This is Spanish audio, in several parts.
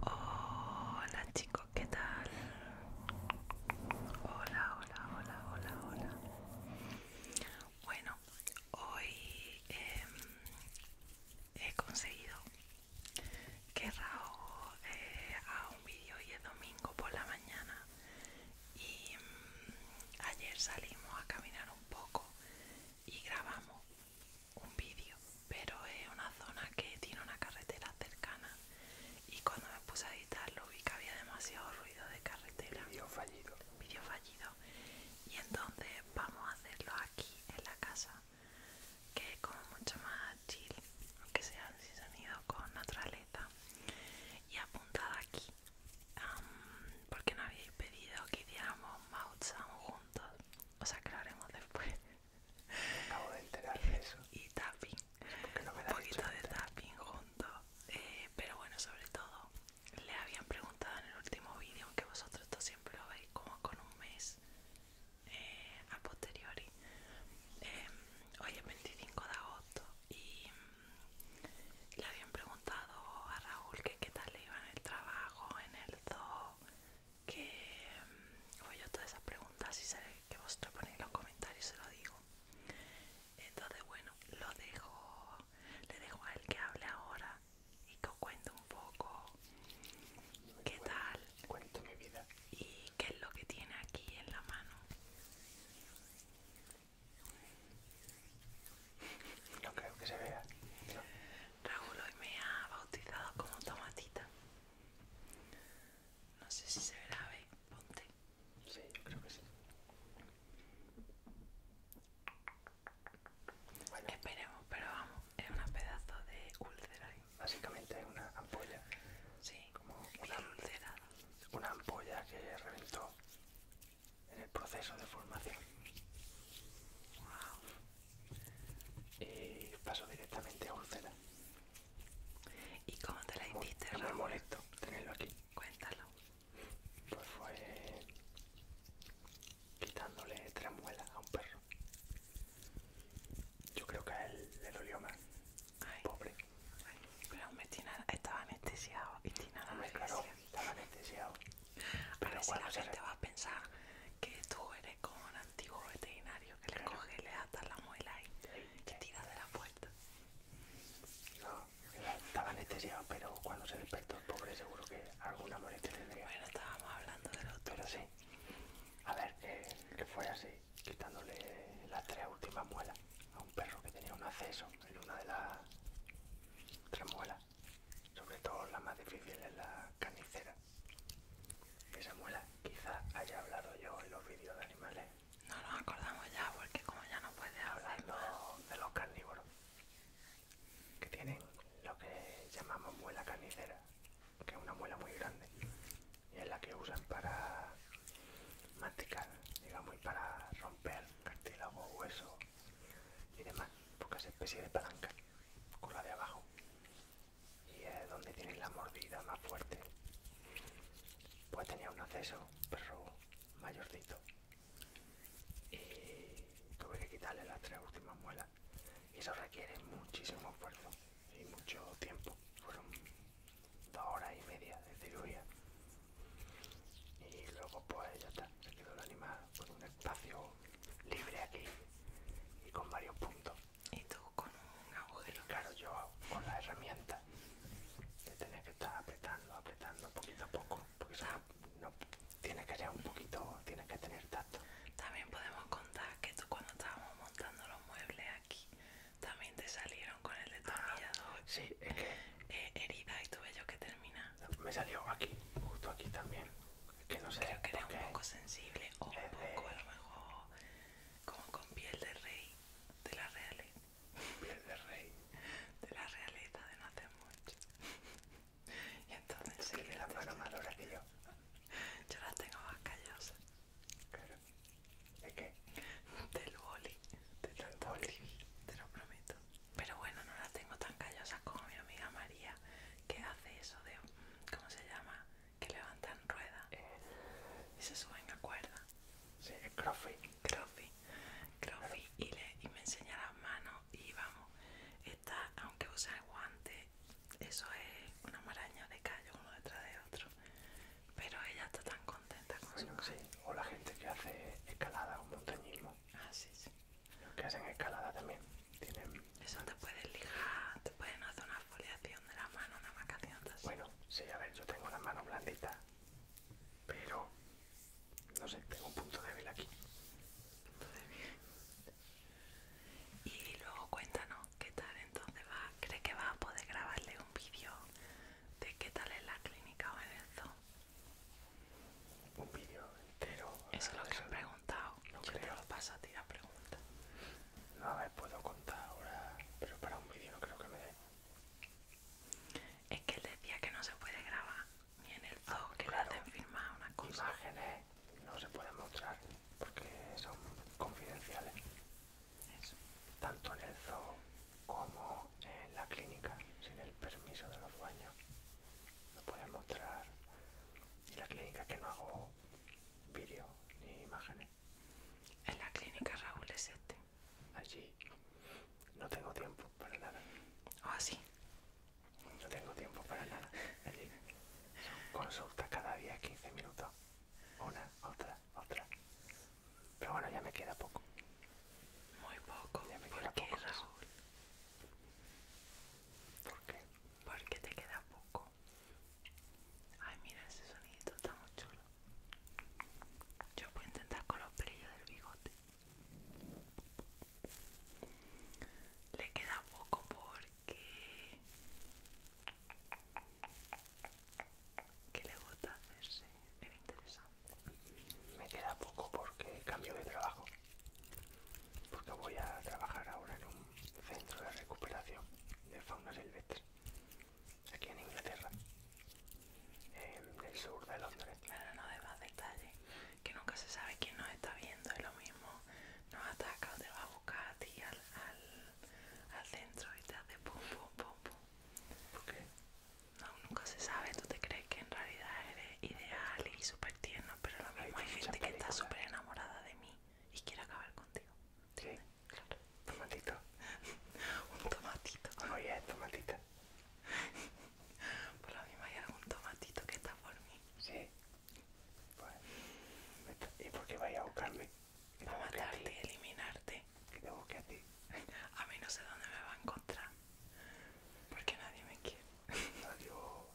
Hola chicos, ¿qué tal? Hola, hola, hola, hola, hola. Bueno, hoy em, he conseguido que Raúl eh, un vídeo y es domingo por la mañana y mm, ayer salimos a caminar un poco y grabamos un vídeo pero es una zona que tiene una carretera cercana y cuando me puse a editarlo vi que había demasiado ruido de carretera vídeo fallido vídeo fallido y entonces vamos a hacerlo aquí en la casa que es como mucho más chill, aunque sea han sonido con naturaleza. Y apuntada aquí, porque no habíais pedido que hiciéramos mouth sound juntos, o sea que lo haremos después. acabo de enterar eso. Y tapping, un poquito de tapping juntos. Eh, pero bueno, sobre todo, le habían preguntado en el último vídeo, aunque vosotros esto siempre lo veis como con un mes eh, a posteriori. Em, hoy es 25 de agosto y mm, le habían preguntado a Raúl que qué tal le iba en el trabajo, en el zoo, que mm, oye todas esas preguntas y sé que vosotros ponéis los comentarios se lo digo. Entonces bueno, lo dejo, le dejo a él que hable ahora y que cuente un poco qué tal. Cuento mi vida. Y qué es lo que tiene aquí en la mano. No creo que se vea. Raúl hoy me ha bautizado como tomatita. No sé si se verá, ve, ponte. Sí, yo creo que sí. Bueno. Esperemos, pero vamos, es un pedazo de úlcera básicamente es una ampolla. como una, ampolla que reventó en el proceso de formación. Y pasó directamente a úlcera. ¿Y cómo te la hiciste? Es muy molesto tenerlo aquí. Cuéntalo. Pues fue quitándole tres muelas a un perro. Yo creo que a él le dolió más. Pobre. pero estaba anestesiado y estaba anestesiado. Pero a ver si la gente va a pensar que tú eres como un antiguo veterinario que le coge, le ata la muela y te tira de la puerta. estaba anestesiado, pero cuando se despertó el pobre seguro que alguna molestia tendría. Bueno, estábamos hablando de otro Pero sí. A ver, que fue así quitándole las tres últimas muelas a un perro que tenía un acceso en una de las tres muelas, sobre todo la más difícil es la carnicera. Esa muela quizás haya hablado yo en los vídeos de animales. No nos acordamos ya porque como ya no puede hablar de los carnívoros que tienen lo que llamamos muela carnicera que es una muela muy grande y es la que usan para masticar, digamos, y para romper cartílago, hueso y demás, porque es especie de palanca con la de abajo y es donde tienen la mordida más fuerte. Pues tenía un acceso, pero mayorcito, y tuve que quitarle las tres últimas muelas y eso requiere muchísimo esfuerzo y mucho tiempo. Fueron dos horas y media de cirugía. Y luego pues ya está, se quedó el animal con un espacio libre aquí y con varios puntos. Y tú con un agujero. claro, yo con la herramienta. de que estar apretando, apretando poquito a poco. Porque o no, tiene que ser un poquito, tiene que tener tanto También podemos contar que tú cuando estábamos montando los muebles aquí, también te salieron con el de ah, eh, herida y tuve yo que termina. Me salió aquí, justo aquí también. que no sé. Creo que era un poco sensible o un poco, a lo mejor, como con piel de rey de la realeza. Piel de rey. De la realeza de no hacer mucho. y entonces. Sí, la mano que yo. Yo las tengo más callosas. ¿De Del boli. De boli. Te lo prometo. Pero bueno, no las tengo tan callosas como mi amiga María, que hace eso de. ¿Cómo se llama? Que levantan ruedas eh. y se suben a cuerda. Sí, es Crofy, Crofy Y, y me enseña las manos y vamos. Esta, aunque usa el guante eso es una maraña de callo uno detrás de otro. Pero ella está tan contenta con sí. O la gente que hace escalada o montañismo. Ah, sí, sí. Los que hacen escalada también tienen... Eso te pueden lijar, te pueden hacer una foliación de la mano, una macacionta Bueno, sí, a ver, yo tengo las manos blanditas, pero... No sé, tengo un punto débil aquí. Punto débil. Y luego cuéntanos qué tal entonces va, ¿crees que vas a poder grabarle un vídeo de qué tal es la clínica o en el zoo? Un vídeo entero. Eso es lo que han preguntado. No Yo creo. lo paso a la pregunta. No, a puedo contar ahora, pero para un vídeo no creo que me dé. Es que él decía que no se puede grabar, ni en el ah, zoo, que lo le hacen firmar una cosa. Imágenes no se pueden mostrar porque son confidenciales. Tanto en el zoo como en la clínica, sin el permiso de los dueños. No pueden mostrar. en la clínica que no hago vídeo ni imágenes. En la clínica Raúl es este. Allí no tengo tiempo para nada. Ah, sí. No tengo tiempo para nada. Allí. Consulta cada día 15 minutos. Una, otra, otra, Pero bueno, ya me queda poco. Muy poco. Ya me ¿Por queda qué, ¿Por qué? Porque te queda poco. Ay, mira ese sonido, está muy chulo. Yo voy a intentar con los brillos del bigote. Le queda poco porque que le gusta hacerse era interesante. Me queda poco porque cambio de trabajo. Porque voy a trabajar ahora en un centro de recuperación de fauna silvestre. Aquí en Inglaterra. En el sur de Londres. Claro, no más detalle. Que nunca se sabe quién nos está viendo. Es lo mismo. Nos ataca o te va a buscar a al al centro y te hace pum pum pum pum. ¿Por No, nunca se sabe, tú te crees que en realidad eres ideal y súper tierno, pero lo mismo hay, gente que está súper enamorada de mí y quiere acabar contigo. Sí, claro. Tomatito. Un tomatito. Oye, oh, tomatito. Por lo mismo hay algún tomatito que está por mí. Sí. ¿Y por qué vais a buscarme? Va a matarte y eliminarte. Que te busque a ti. A mí no sé dónde me va a encontrar. Porque nadie me quiere. Adiós.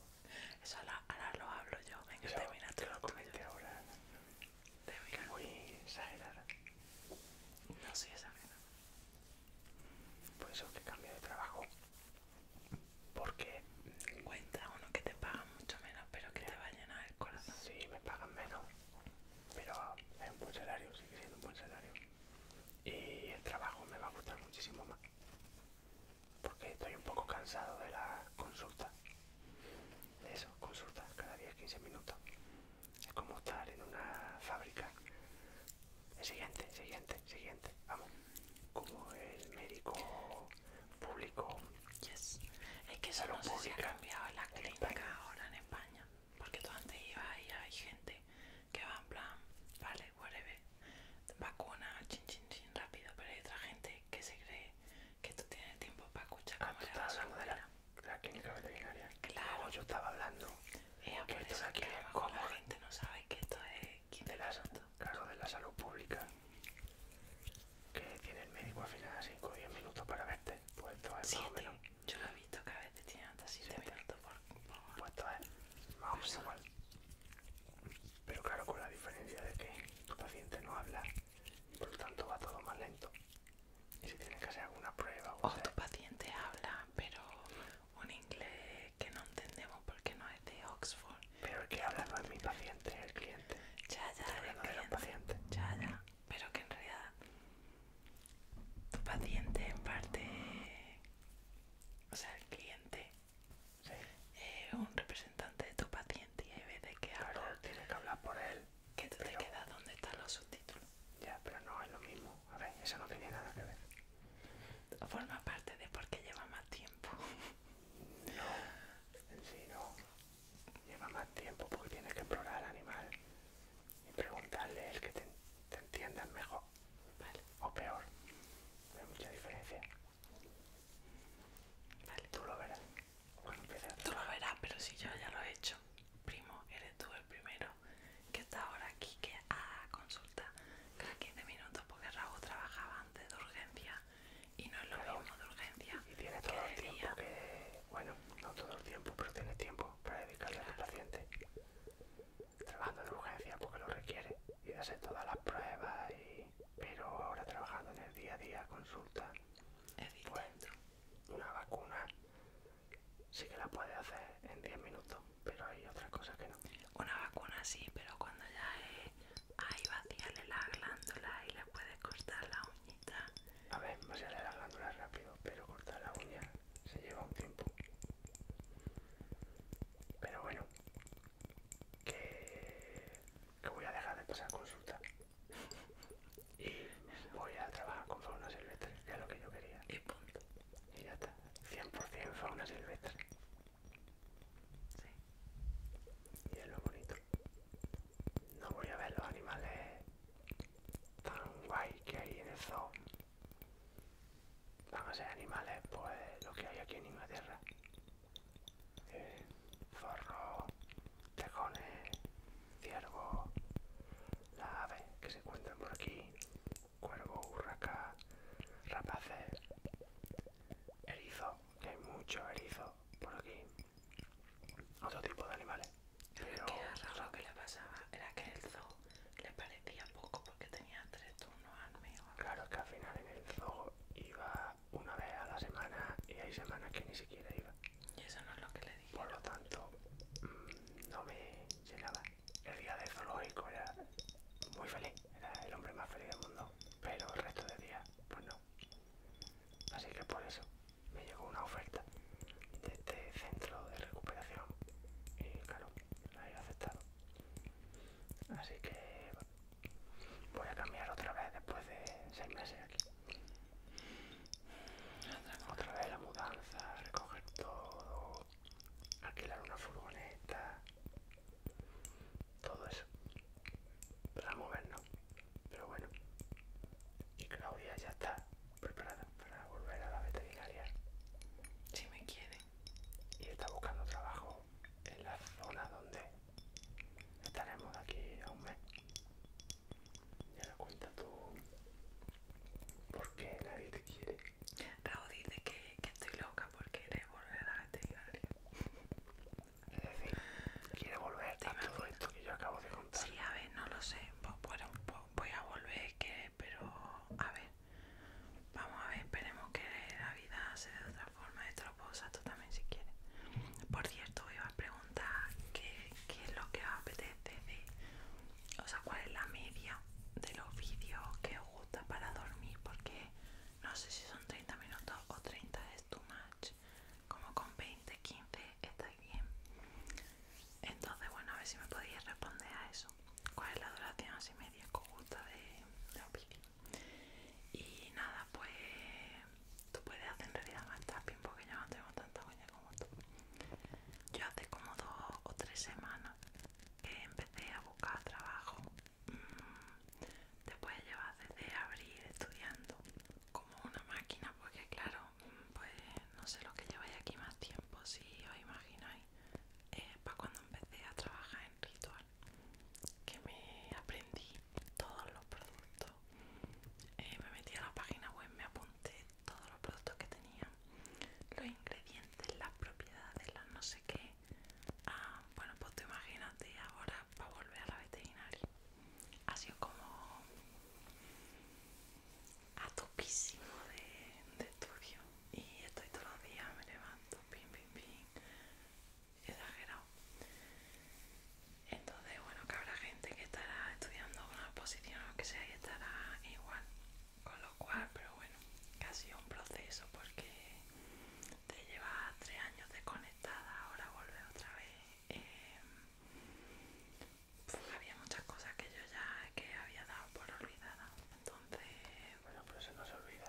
Eso ahora, lo hablo yo. Venga, Eso, termina tú lo ahora. Voy a exagerar. No soy exagerada. Por eso que cambio de trabajo. Porque... Cuenta uno que te paga mucho menos, pero que te va a llenar si ah, Sí, me pagan menos, pero es un buen salario, sigue siendo un buen salario. Y el trabajo me va a gustar muchísimo más, porque estoy un poco cansado de la consulta. De eso, consultas cada 10-15 minutos. Es como estar en una fábrica. El siguiente, siguiente, siguiente, vamos. Como el médico público. Es que eso no sé si ha cambiado la clínica ahora en España. Porque tú antes ibas y hay gente que va en plan, vale, whatever, vacuna, chin chin chin, rápido. Pero hay otra gente que se cree que tú tienes tiempo para escuchar ah, cómo está la a de la, la clínica veterinaria. Claro. yo estaba hablando. de la gente no sabe que esto es... De la, claro, de la salud pública que tiene el médico al final 5 o 10 minutos para verte. Pues Yo lo he visto que a veces tiene hasta 7 minutos por. Pues esto es más Pero claro, con la diferencia de que tu paciente no habla, por tanto va todo más lento. Y si tiene que hacer alguna prueba o. tu paciente habla, pero un inglés que no entendemos porque no es de Oxford. Pero que habla no es mi paciente, el cliente. Ya, ya, el cliente. De Ya, pero que en realidad tu paciente en parte, o sea, el cliente es eh, un representante de tu paciente y vez de que habla, que hablar por él. Que tú te quedas donde están los subtítulos. Ya, pero no es lo mismo. A ver, eso no tiene nada que ver. Forma parte de por qué lleva más tiempo. No, en sí no lleva más tiempo porque tienes que explorar al animal y preguntarle el que te, entiendan mejor o peor. No hay mucha diferencia. Vale. Tú lo verás. Tú lo verás, pero si yo ya lo he hecho. Primo, eres tú el primero que está ahora aquí que a consulta cada 15 minutos porque Raúl trabajaba antes de urgencia y no es lo de urgencia. Y tiene todo el tiempo que. Bueno, no todo el tiempo, pero tiene tiempo para dedicarle al paciente. Trabajando de urgencia porque lo requiere y hace todas las pruebas, y... pero ahora trabajando en el día a día, consulta. Pues, una vacuna sí que la puede hacer en 10 minutos, pero hay otras cosas que no. Una vacuna sí, pero cuando ya es. Ahí vacíale la glándula y le puede cortar la uña a ver, voy a las glándulas rápido, pero cortar la uña se lleva un tiempo. Pero bueno, que, que voy a dejar de pasar consulta. Y voy a trabajar con fauna silvestre, que es lo que yo quería. Y punto. Y ya está. 100% fauna silvestre. Sí. Y es lo bonito. No voy a ver los animales tan guay que hay en el zoo. Van a ser animales, pues lo que hay aquí en Inglaterra. Eh, zorro, tejones, ciervo, la ave que se encuentran por aquí, Cuervo, urraca, rapaces, erizo, que hay mucho erizo por aquí otro tipo de animales. lo que le pasaba era que el zoo le parecía poco porque tenía tres turnos al mío. Claro, que al final en el zoo iba una vez a la semana y hay semanas que ni siquiera iba. Y eso no es lo que le dije. Por lo tanto, mm, no me llenaba. El día del zoológico era muy feliz, era el hombre más feliz del mundo. Pero el resto de días, pues no. Así que por eso me llegó una oferta de este centro de recuperación y claro, la he aceptado. Así que voy a cambiar otra vez después de seis meses aquí. Otra vez la mudanza, recoger todo, alquilar una furgoneta, todo eso para movernos. Pero bueno, y Claudia ya está preparada para volver a la veterinaria. Si me quiere. Y está buscando trabajo en la zona donde estaremos de aquí a un mes. Ya la cuenta tú por qué nadie te quiere. Raúl dice que, estoy loca porque quiere volver a la veterinaria. Es decir, quiere volver a todo esto que yo acabo de Sí, a ver, no lo sé. Bueno, voy a volver, que, pero a ver. Vamos a ver, esperemos que la vida sea de otra forma. de lo puedo tú también si quieres. Por cierto, voy a preguntar qué, es lo que apetece de... O sea, cuál es la media de los vídeos que os gusta para dormir. Porque no sé si son 30 minutos o 30 es tu más como con 20 15 está bien entonces bueno a ver si me podías responder a eso cuál es la duración así media conjunta de, de opinión y nada pues tú puedes hacer en realidad más tapping porque yo no tengo tanta huella como tú yo hace como dos o tres semanas que empecé a buscar trabajo mm, Te puedes llevar desde abril estudiando como una máquina porque claro pues no sé lo que lleváis aquí más tiempo, si os imagináis, eh, para cuando empecé a trabajar en Ritual, que me aprendí todos los productos, eh, me metí a la página web, me apunté todos los productos que tenía, los ingredientes, las propiedades, las no sé qué. Ah, bueno, pues te imagínate ahora para volver a la veterinaria ha sido como a toquísimo de, estudio y estoy todos los días, me levanto, pin, pim, pim, exagerado. Entonces, bueno, que habrá gente que estará estudiando una posición o que sea y estará igual, con lo cual, pero bueno, que ha sido un proceso porque te lleva tres años desconectada, ahora vuelve otra vez. Eh, había muchas cosas que yo ya que había dado por olvidada. Entonces. Bueno, pero eso no se olvida,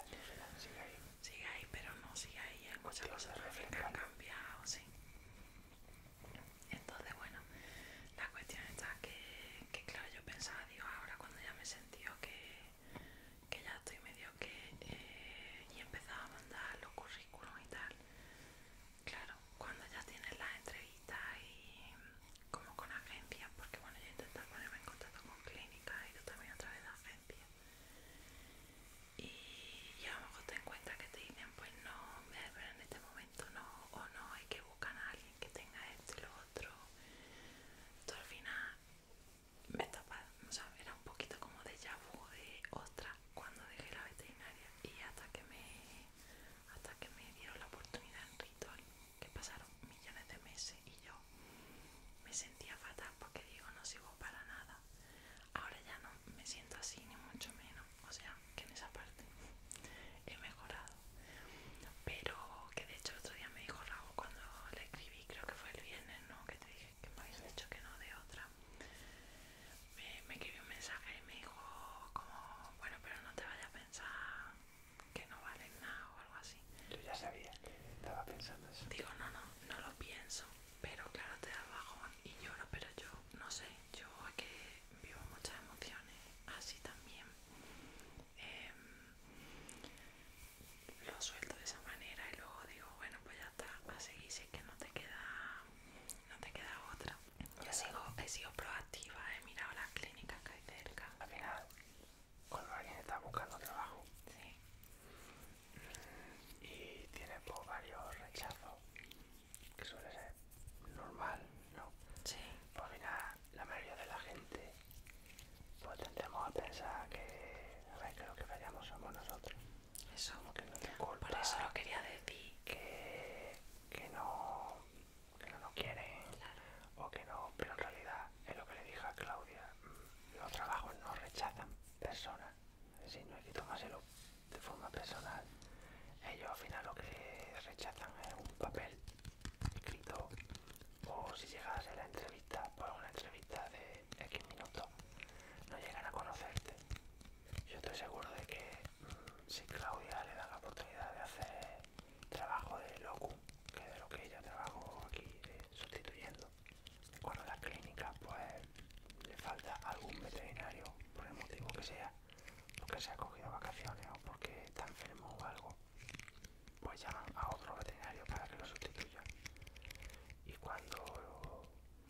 sigue ahí. Sigue ahí, pero no sigue ahí. Hay muchas los que han cambiado, sí. Entonces, bueno, la cuestión está que, claro, yo pensaba, digo, ahora cuando ya me he sentido que, que ya estoy medio que. Eh, y empezaba a mandar los currículums y tal. Claro, cuando ya tienes las entrevistas y como con agencias, porque bueno, yo he intentado ponerme en contacto con clínicas y yo también a través de agencias. Y, yo a lo mejor te encuentras que te dicen, pues no, pero en este momento no, o no, hay que buscar a alguien que tenga esto y lo otro. Entonces al final me topa, o sea, era un poquito como de vu de otra cuando dejé la veterinaria y hasta que me hasta que me dieron la oportunidad en Ritual, que pasaron millones de meses y yo me sentía fatal porque digo no sirvo para nada. Ahora ya no me siento así ni mucho menos, o sea que en esa parte he mejorado. Pero que de hecho el otro día me dijo Raúl cuando le escribí, creo que fue el viernes, ¿no? Que te dije que me habías dicho que no de otra me, escribió un mensaje y me dijo como, bueno, pero no te vayas a pensar que no vale nada o algo así. Yo ya sabía que estaba pensando eso. Digo, no, no, no lo pienso, pero claro, te da bajón y lloro, pero yo no sé, yo es que vivo muchas emociones, así también. Em, lo suelto de esa manera y luego digo, bueno, pues ya está, a seguir si es que no te queda, no te queda otra. Yo sigo, he sido proactiva, he mirado las clínicas que hay cerca. Al final, cuando alguien está buscando trabajo sí. y tiene pues, varios rechazos, que suele ser normal, ¿no? Sí. Pues, al final, la mayoría de la gente, pues, tendremos a pensar que, lo que fallamos somos nosotros. Eso. Por eso lo quería decir. Que que no, que no quiere o que no, pero en realidad es lo que le dije a Claudia, mm, los trabajos no rechazan personas, si no hay que tomárselo de forma personal, ellos al final lo que rechazan es un papel escrito o si llegas a la entrevista por pues una entrevista de X minutos, no llegan a conocerte yo estoy seguro de que mm, si Claudia le da la oportunidad de hacer trabajo de locum, que es de lo que ella trabajó aquí sustituyendo, cuando la clínica pues le falta algún veterinario, por el motivo que sea, porque se ha cogido vacaciones o porque está enfermo o algo, pues llaman a otro veterinario para que lo sustituya. Y cuando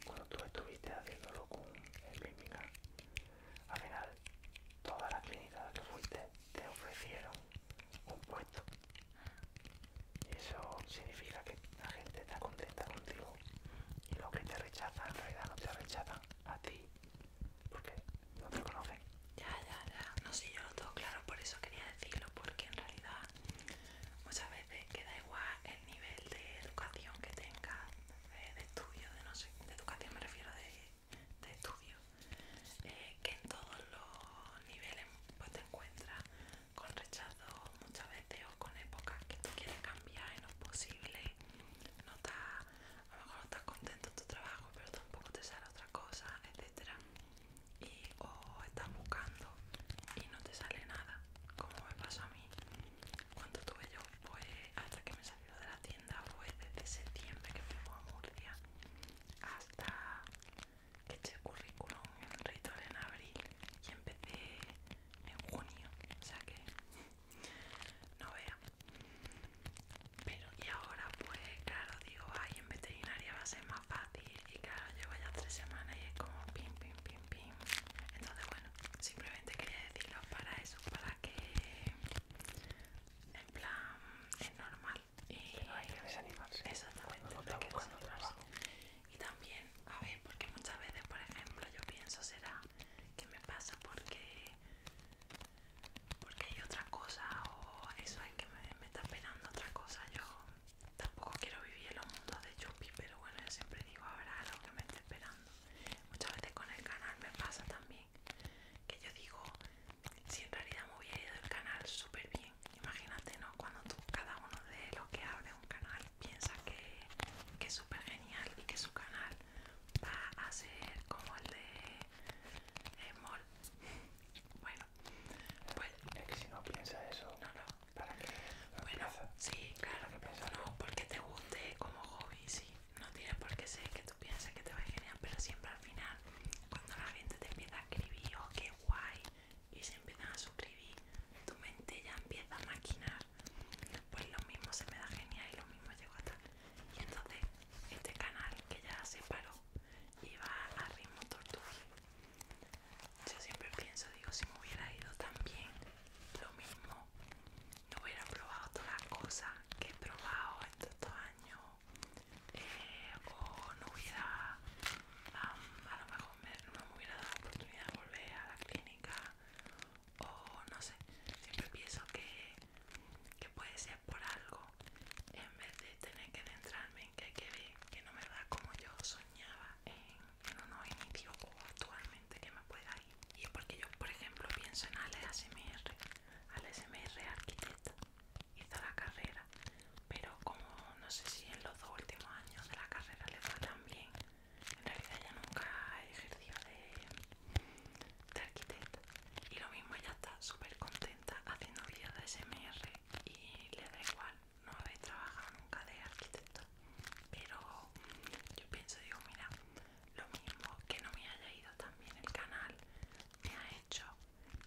cuando tú estuviste haciéndolo con el al final todas las clínicas a las que fuiste te ofrecieron un puesto. Y eso significa que la gente está contenta contigo y los que te rechazan en realidad no te rechazan a ti porque no te conocen. Ya, ya, ya. No sé, yo lo tengo claro, por eso quería decirlo, porque en realidad muchas veces queda igual el nivel de educación que tengas de, estudio, de no sé, de educación me refiero, de, estudio, eh, que en todos los niveles pues te encuentras con rechazo muchas veces o con épocas que tú quieres cambiar y no es posible, no estás, a lo mejor no estás contento en tu trabajo, pero tampoco te sale otra cosa, etcétera y o estás buscando y no te sale nada como me pasó a mí cuando tuve yo pues hasta que me lo de la tienda fue desde septiembre que fui a Murcia hasta que eché el currículum en en abril y empecé en junio, o sea que no vea. Pero y ahora pues claro digo, ay en veterinaria va a ser más fácil y claro llevo ya tres semanas y es como pim pim pim pim. Entonces bueno simplemente quería decirlo para eso, para que en plan es normal y que desanimarse. Exactamente, no hay que desanimarse. Y también, a ver, porque muchas veces, por ejemplo, yo pienso será que me pasa porque porque hay otra cosa o eso es que me, está esperando otra cosa. Yo tampoco quiero vivir en los mundos de Chupi, pero bueno, yo siempre digo habrá algo que me esté esperando. Muchas veces con el canal me pasa también que yo digo, si en realidad me hubiera ido el canal súper bien, imagínate, ¿no? Cuando tú, cada uno de los que abre un canal, piensa que, es súper genial y que su canal va a ser como el de Small. Eh, bueno, pues. Es si no piensa eso. No, no. ¿Para qué? bueno, sí, claro. ¿Para qué no, porque te guste como hobby, sí no tiene por qué ser que tú pienses que te va genial, pero siempre al final, cuando la gente te empieza a escribir, oh, qué guay, y se empiezan a suscribir, tu mente ya empieza a maquinar. Pues lo mismo se me da genial y lo mismo llego a tal. Y entonces, este canal que ya se paró iba a ritmo tortuga. Yo siempre pienso, digo, si me hubiera ido tan bien, lo mismo no hubiera probado todas las cosas que he probado en estos años eh, o no hubiera a lo mejor no me hubiera dado la oportunidad de volver a la clínica o no sé siempre pienso que, puede ser por algo en vez de tener que adentrarme en que hay que ver que no me da como yo soñaba en, no nuevo inicio o actualmente que me pueda y porque yo, por ejemplo, pienso en Ale ASMR, Ale SMR arquitecta, hizo la carrera, pero como no sé si en los dos últimos años de la carrera le fue tan bien, en realidad ella nunca ejerció de, arquitecta. Y lo mismo, ella está súper contenta haciendo vídeos de SMR y le da igual, no he trabajado nunca de arquitecto. Pero yo pienso, digo, mira, lo mismo que no me haya ido también el canal me ha hecho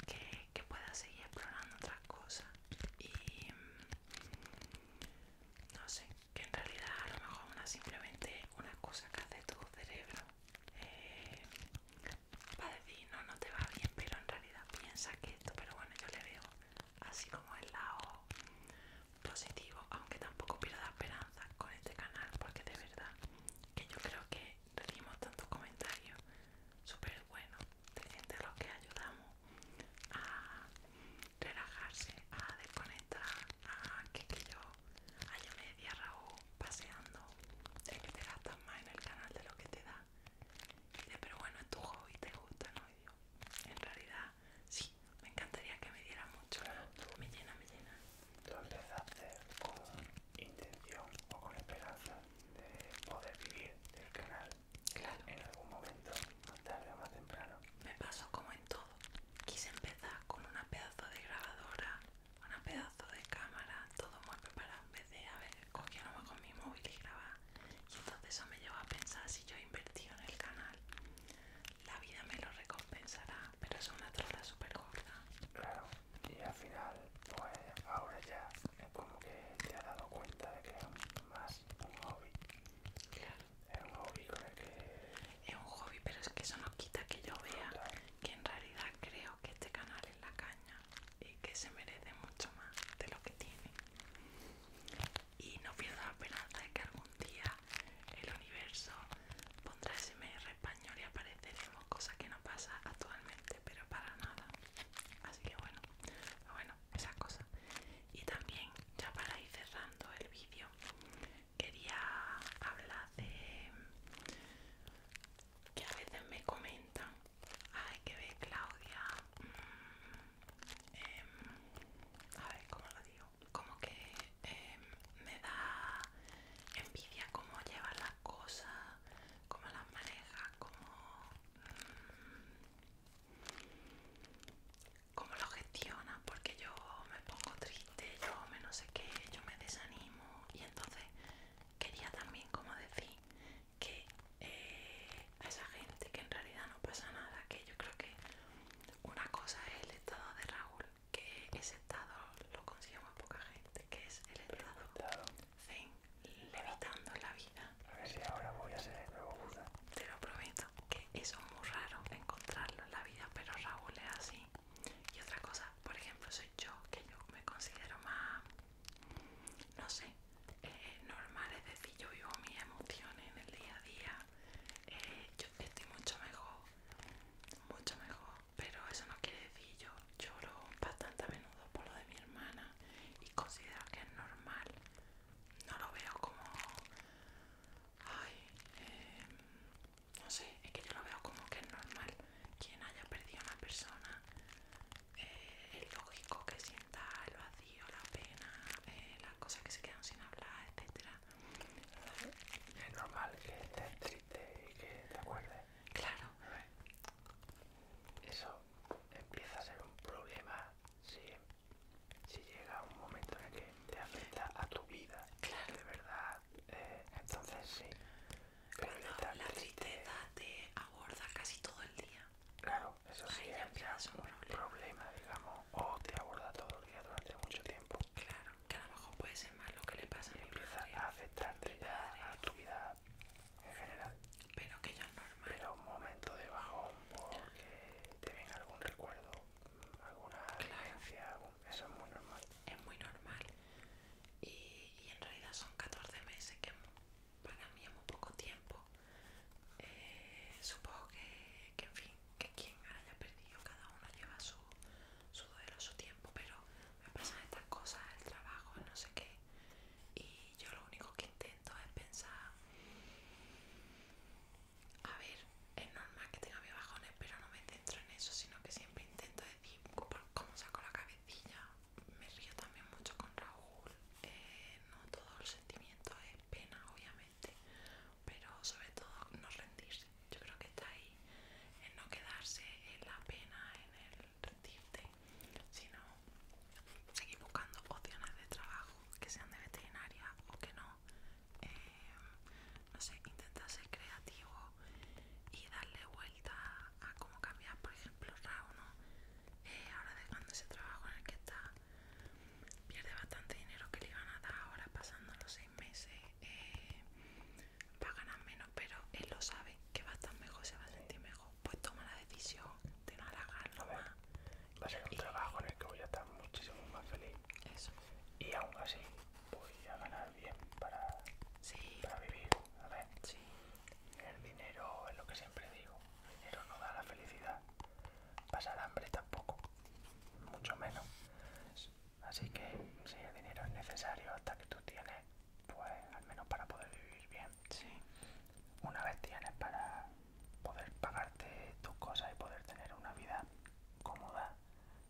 que, pueda seguir explorando otras cosas y mm, no sé que en realidad a lo mejor una simplemente una cosa que hace tu cerebro eh, va a decir no no te va bien pero en realidad piensa que esto pero bueno yo le veo así como el lado positivo, aunque tampoco pierda esperanza con este canal, porque de verdad que yo creo que recibimos tantos comentarios súper buenos de gente que ayudamos a relajarse, a desconectar, a que, yo haya media Raúl paseando, que te gastas más en el canal de lo que te da. pero bueno, es tu hobby, te gusta, ¿no? en realidad, sí, me encantaría que me diera mucho. Me llena, me llena. ¿Tú empezaste con intención o con esperanza de poder vivir del canal. En algún momento, más tarde o más temprano. Me pasó como en todo. Quise empezar con una pedazo de grabadora, una pedazo de cámara, todo muy preparado. En vez de haber cogido con mi móvil y grabar. Y entonces eso me llevó a pensar si yo invertí en el canal la vida me lo recompensará, pero es una trola súper gorda. Claro, y al final, pues ahora ya es como que te has dado cuenta de que es más un hobby. Claro. Es un hobby creo que... Es un hobby, pero es que eso nos quita que yo vea que en realidad creo que este canal es la caña y que se merece mucho más de lo que tiene. Y no pierdo la esperanza de que algún día el universo, pondrá SMR español y apareceremos, cosa que no pasa actualmente, pero para nada. Así que bueno, bueno, esas cosas. Y también, ya para ir cerrando el vídeo, quería hablar de que a veces me comentan, ay, que ve Claudia, mm, em, a ver, ¿cómo lo digo? como que em, me da envidia cómo lleva las cosas, cómo las maneja, mm, cómo, lo gestiona, porque yo me pongo triste, yo me no sé qué, yo me desanimo y entonces quería también como decir que eh, a esa gente que en realidad no pasa nada, que yo creo que una cosa es el estado de Raúl que ese estado lo consigue muy poca gente, que es el estado Zen, levitando la vida. A ver si ahora voy a ser el nuevo Buda. Te lo prometo, que eso es muy raro encontrarlo en la vida, pero Raúl es así. Y otra cosa, por ejemplo, soy yo, que yo me considero más, no sé, eh, normal, es decir, yo vivo mis emociones en el día a día, eh, yo estoy mucho mejor mucho mejor, pero eso no quiere decir yo lloro bastante a menudo por lo de mi hermana y considero que es normal, no lo veo como, ay, em, no sé, es que yo lo veo como que es normal, quien haya perdido a una persona, eh, es lógico que sienta el vacío, la pena, eh, las cosas que se quedan sin hablar, etcétera es normal que estés triste y que te acuerdes. Claro. Eso empieza a ser un problema si, llega un momento en el que te afecta a tu vida. Claro. De verdad. Eh, entonces sí. Pero la tristeza te aborda casi todo el día. Claro, eso sí es un problema, digamos. O te aborda todo el día durante mucho tiempo. Claro que a lo mejor puede ser más lo que le pasa a mi empieza a afectarte ya a tu vida en general. Pero que ya es normal. Pero un momento de bajón porque te viene algún recuerdo, alguna creencia, eso es muy normal. Es muy normal. Y, en realidad son 14 meses que para mí es muy poco tiempo. Eh, supongo que, que, en fin, que quien haya perdido, cada uno lleva su, su duelo, su tiempo, pero me pasan estas cosas, el trabajo, no sé qué, y yo lo único que intento es pensar, a ver, es normal que tenga mis bajones, pero no me centro en eso, sino que siempre intento decir, cómo saco la cabecilla, me río también mucho con Raúl, eh, no todo el sentimiento es pena, obviamente, pero sobre todo no rendirse. Yo creo que está ahí en no quedarse en la pena, en el rendirte, sino seguir buscando opciones de trabajo que sean de veterinaria o que no. Eh, no sé, intenta ser creativo y darle vuelta a cómo cambiar, por ejemplo, Rauno, eh, ahora dejando ese trabajo en el que está, pierde bastante dinero que le iban a dar ahora pasándolo, sé, meses eh, va a ganar menos, pero él lo sabe que va a estar mejor, se va a sentir mejor. Pues toma la decisión de no alargarlo Va a ser un trabajo en el que voy a estar muchísimo más feliz. Eso. Y aún así voy a ganar bien para, vivir. A ver. El dinero es lo que siempre digo. El dinero no da la felicidad. Pasar hambre tampoco. Mucho menos. Así que si el dinero es necesario hasta que tú tienes, pues al menos para poder vivir bien. Sí. Una vez tienes para poder pagarte tus cosas y poder tener una vida cómoda,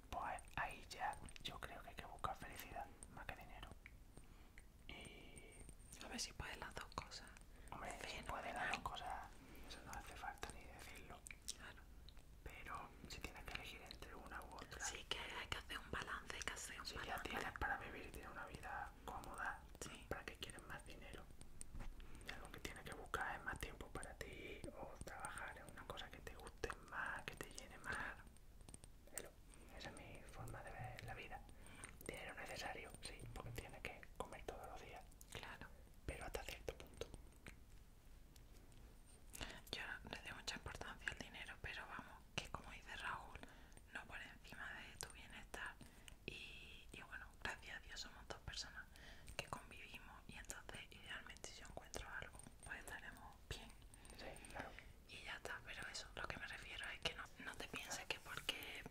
pues ahí ya yo creo que hay que buscar felicidad más que dinero. Y... A ver si puedes las dos cosas. Hombre, si puedes las dos cosas, eso no hace falta ni decirlo. Claro. Pero si tienes que elegir entre una u otra. Sí, que hay que hacer un balance, que hacer un si tienes para vivir y tienes una vida cómoda, ¿para que quieres más dinero? Algo que tienes que buscar es más tiempo para ti o trabajar en una cosa que te guste más, que te llene más. Eso es mi forma de ver la vida. Dinero necesario, sí, porque tienes que comer todos los días. Claro. Pero hasta cierto punto. Yo le doy mucha importancia al dinero, pero vamos, que como dice Raúl, no por encima de tu bienestar. Y, bueno, gracias a Dios somos dos personas que convivimos y entonces idealmente si yo encuentro algo, pues estaremos bien. Sí, claro. Y ya está, pero eso, lo que me refiero es que no, te pienses que porque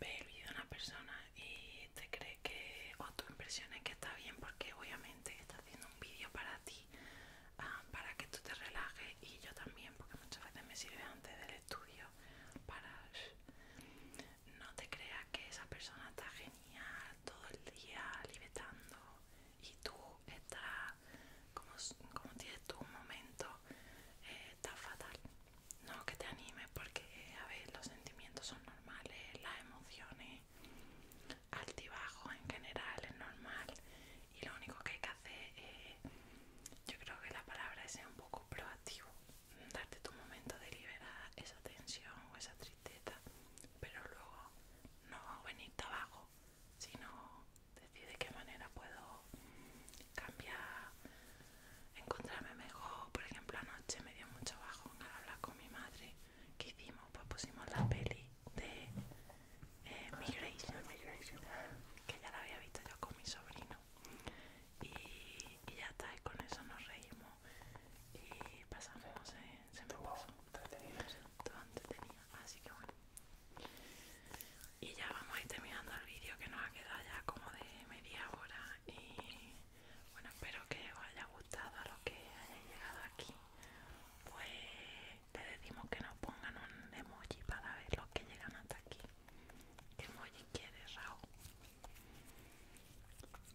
ve el vídeo de una persona y te cree que, o tu impresión es que está bien porque obviamente está haciendo un vídeo para ti, ah, para que tú te relajes y yo también, porque muchas veces me sirve antes del estudio para... No te creas que esa persona está genial todo el día libertando y tú estás, como, tienes tú un momento, eh, está fatal. No que te animes porque, a ver, los sentimientos son normales, las emociones altibajo en general, es normal y lo único que hay que hacer es, yo creo que la palabra es un poco proactivo, darte tu momento de liberar esa tensión o esa tristeza, pero luego no venirte abajo, sino decir de qué manera puedo cambiar, encontrarme mejor. Por ejemplo, anoche me dio mucho bajo al hablar con mi madre. ¿Qué hicimos? Pues pusimos la peli de eh, Migration, que ya la había visto yo con mi sobrino. Y, ya está, y con eso nos reímos y pasamos, en se, se me Todo entretenido, así que bueno. Y ya vamos a ir terminando el vídeo que nos ha quedado ya como de media hora. Y bueno, espero que os haya gustado lo que hayan llegado aquí pues te decimos que nos pongan un emoji para ver los que llegan hasta aquí. ¿Qué emoji quieres, Raúl?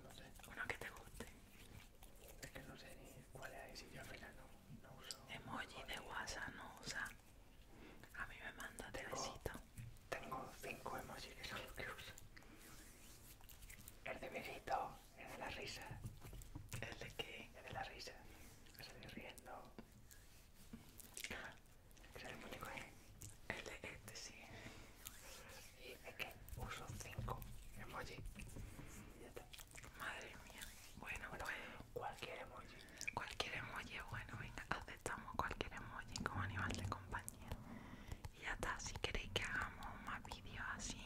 No sé. Uno que te guste. Es que no sé ni cuál es, si yo al no, uso. Emoji de WhatsApp no usa. A mí me manda besito Tengo cinco emojis que son los que uso. El de besito, es de la risa. el de qué? Es de la risa. Estoy riendo. Es el único El de este, sí. Y es que uso cinco emoji. ya está. Madre mía. Bueno, bueno pues, cualquier emoji. Cualquier emoji, bueno, venga, aceptamos cualquier emoji como animal de compañía. Y ya está, si queréis que hagamos más vídeos así,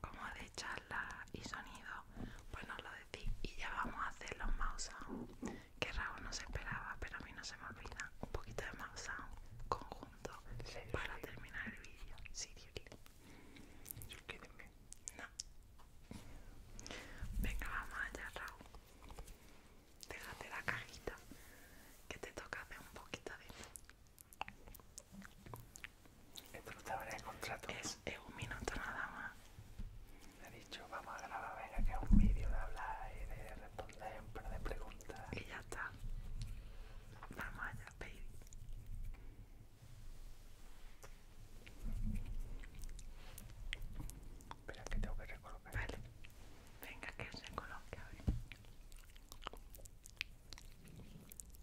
como de charla y sonido, pues nos lo decís y ya vamos a hacer los mouse sound, que Raúl no se esperaba, pero a mí no se me olvida. Un poquito de mouse sound conjunto para terminar el vídeo. Sí, Dios No. Venga, vamos allá, Raúl. Déjate la cajita que te toca hacer un poquito de esto no estaba en el contrato. Es, eh, un minuto nada más. Le he dicho, vamos a grabar, venga, que es un vídeo de hablar y de responder un par de preguntas. Y ya está. Vamos allá, baby. Espera, que tengo que recolocar. Vale. Venga, que se coloque a ver.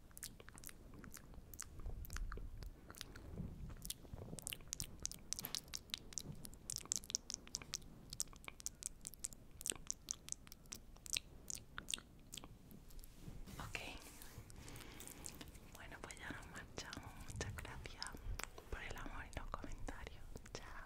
Ok, bueno pues ya nos marchamos, muchas gracias por el amor y los comentarios, chao.